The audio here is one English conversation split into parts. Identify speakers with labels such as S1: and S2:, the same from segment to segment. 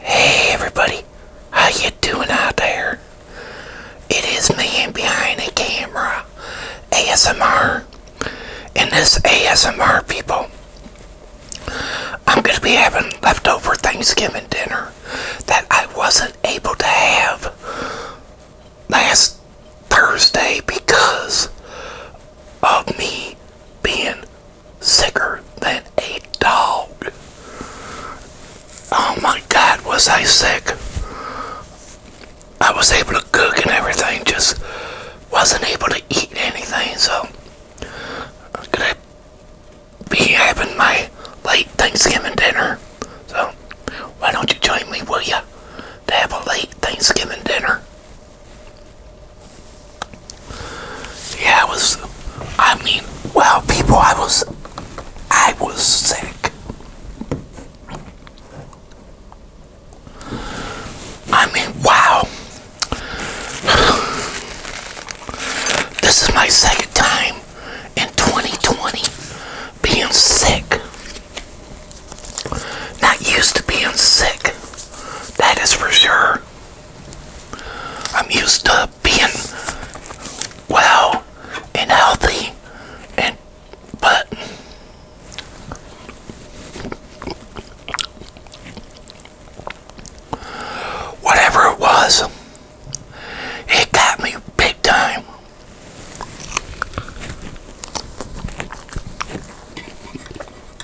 S1: Hey everybody, how you doing out there? It is me behind the camera, ASMR. And this ASMR, people, I'm going to be having leftover Thanksgiving dinner that I wasn't able to have last Thursday because of me being sicker than a dog. Oh my god, was I sick? I was able to cook and everything, just wasn't able to eat anything, so I'm gonna be having my late Thanksgiving dinner. So why don't you join me, will ya? To have a late Thanksgiving dinner. Yeah, I was, I mean, wow, people, I was, I was sick. I mean, wow. This is my second time in 2020 being sick. Not used to being sick, that is for sure. I'm used to being well and healthy and but whatever it was it got me big time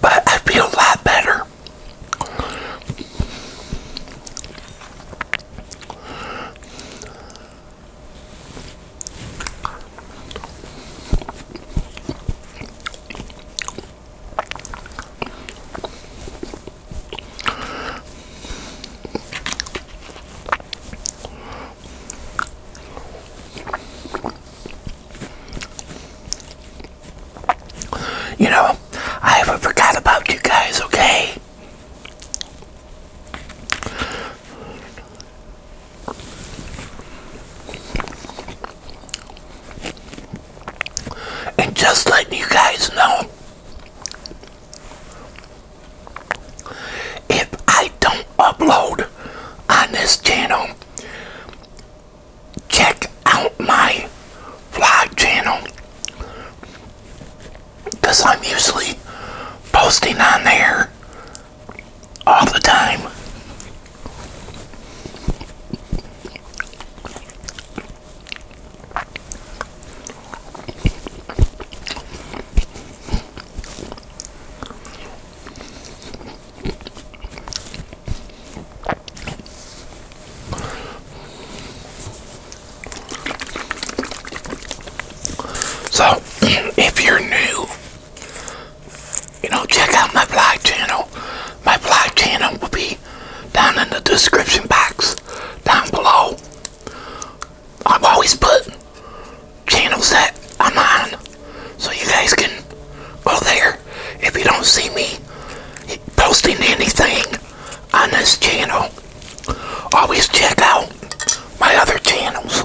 S1: But I feel a lot better. You know, I haven't forgot about you guys, okay? And just letting you guys know, if I don't upload on this channel, check out my vlog channel because I'm usually posting on there all the time. So, if you're new, you know, check out my blog channel. My blog channel will be down in the description box down below. I've always put channels that I'm on so you guys can go there if you don't see me posting anything on this channel. Always check out my other channels.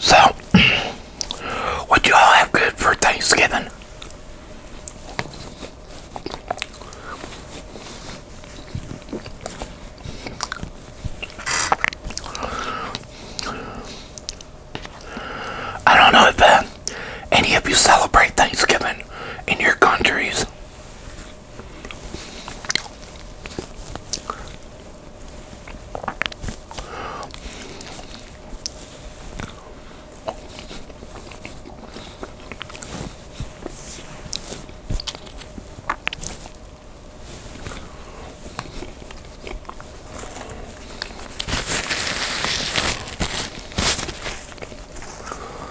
S1: So, what you all have good for Thanksgiving? I don't know if any of you celebrate Thanksgiving in your countries?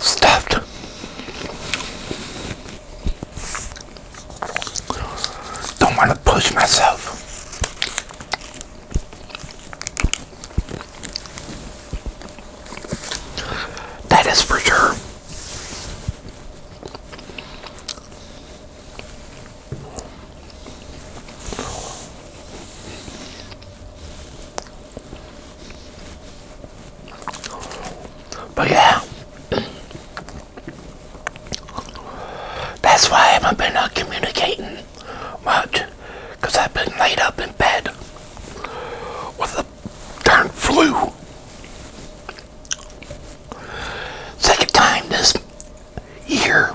S1: Stuffed don't want to push myself that is for sure but yeah, that's why I haven't been uh, communicating much, because I've been laid up in bed with a darn flu. Second time this year.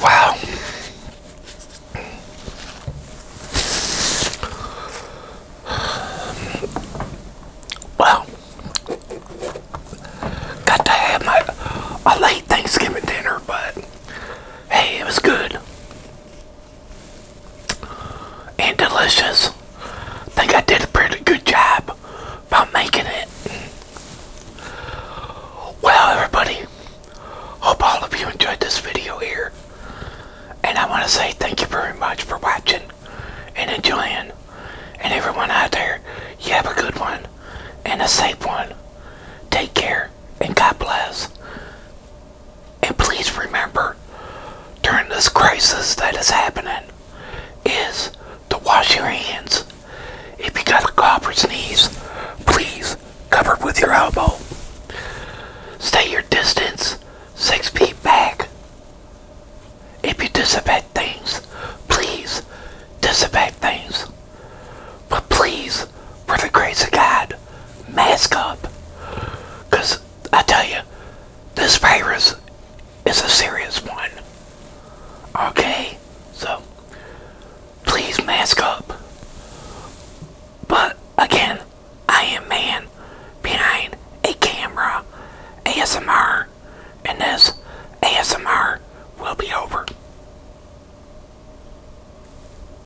S1: Wow. Well, got to have my a late Thanksgiving dinner, but hey, it was good and delicious. I think I did a pretty good job by making it. Well, everybody, hope all of you enjoyed this video here. And I want to say thank you very much for watching and enjoying. And everyone out there, you have a good one and a safe one. Take care and God bless. And please remember, during this crisis that is happening, is to wash your hands. If you got a cough or sneeze, please cover with your elbow. Stay your distance six feet back. If you disinfect things, please disinfect things. But please, for the grace of God, mask up. Because I tell you, this virus is a serious one. Okay? So, please mask up. But, again, I am man behind a camera, ASMR, and this ASMR will be over.